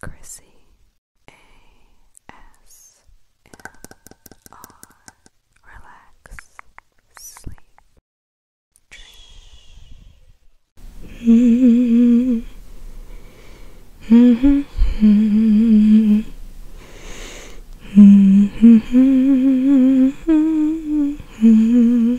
Chrissy A S M R Relax Sleep mm-hmm. Mm-hmm. Mm-hmm. Mm-hmm.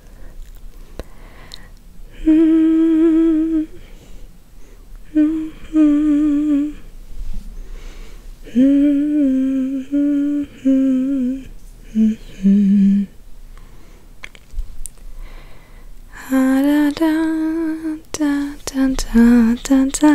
Mm -hmm. Mm -hmm. Mm -hmm. Ah, da, da, da, da, da, da, da.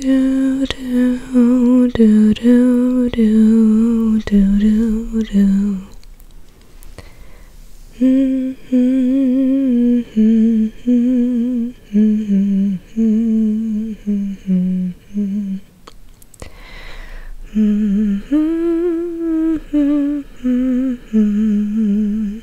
Do do do do do do do do. Mm -hmm, mm -hmm, mm -hmm, mm -hmm. Mm -hmm, mm -hmm, mm -hmm.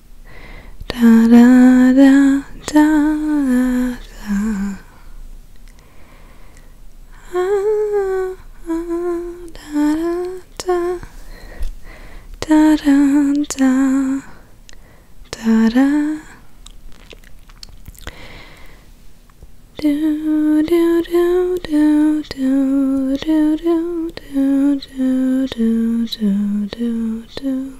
da da da da da, da. da da da da da da da da da da do do do do do do do do do do do do do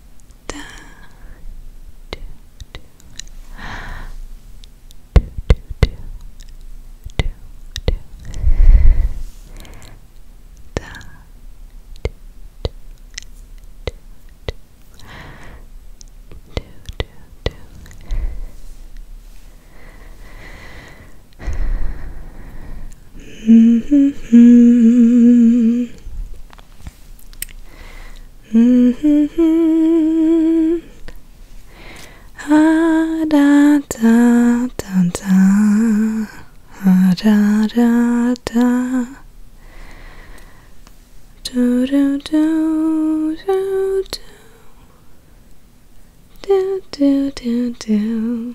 da, do, do, do, do, do, do, da, do, do, do, do, do, do. Mm -hmm. Mm -hmm. ah, da, da, da, da. Ah, da, da, da. Do, do, do, do, do. Do, do, do, do.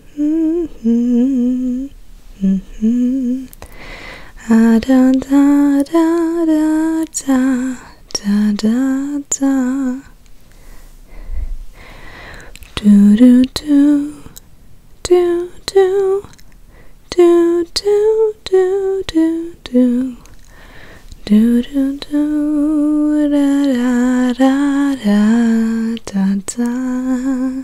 Mm -hmm. Mm -hmm. Ah, da, da, da, da, da, da, da, da. Do do do do do do do do do do do do do da da da da da da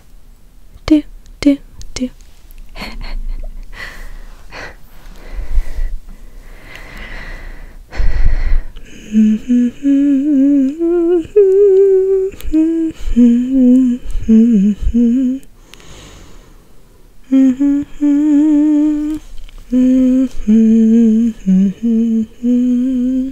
do, do, do.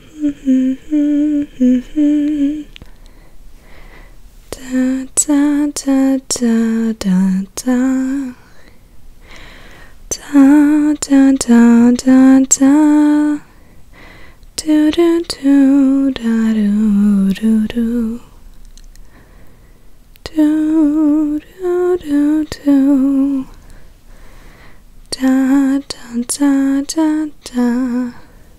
Da da da da da da da da da da da do do do da do do do do do do do da da da da da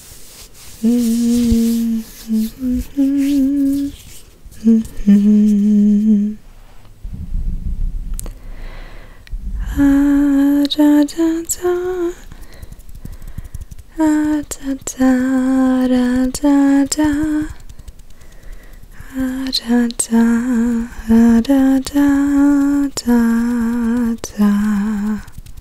Ah da da da Ah da da da da da Ah da da da da da da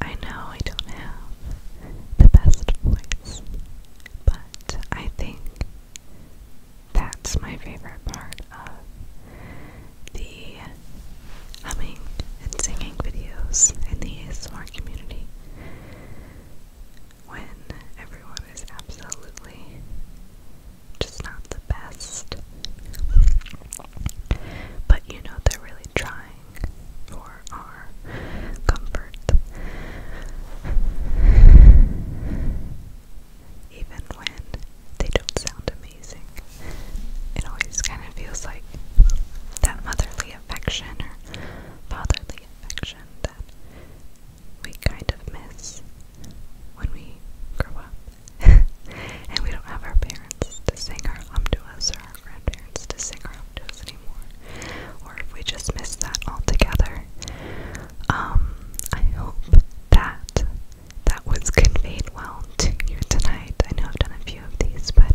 I know I don't have the best voice, but I think that's my favorite part of the humming and singing videos in the smart community. When everyone is absolutely just not the best. But you know, they're really trying for our comfort. Even when they don't sound amazing, it always kind of feels like that motherly affection or fatherly affection that we kind of miss when we grow up and we don't have our parents to sing our hum our grandparents to sing around to us anymore, or if we just miss that altogether. Um, I hope that that was conveyed well to you tonight. I know I've done a few of these, but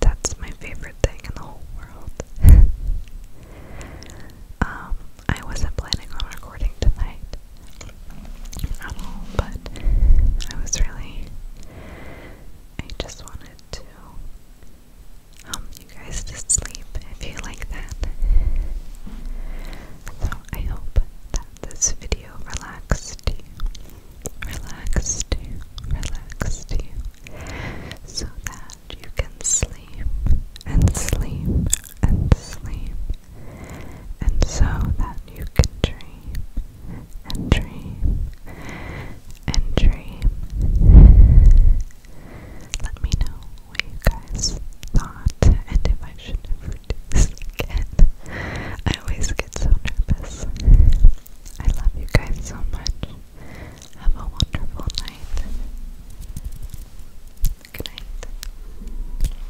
that's my favorite thing in the whole world. um, I wasn't planning on recording tonight, but I was really, I just wanted to help you guys to sleep if you like that. So I hope that this video relaxed you, relaxed you, relaxed you, so that you can sleep and sleep and sleep and so that you can dream and dream and dream. Let me know what you guys thought and if I should ever do this again. I always get so nervous. I love you guys so much. Have a wonderful night. Good night.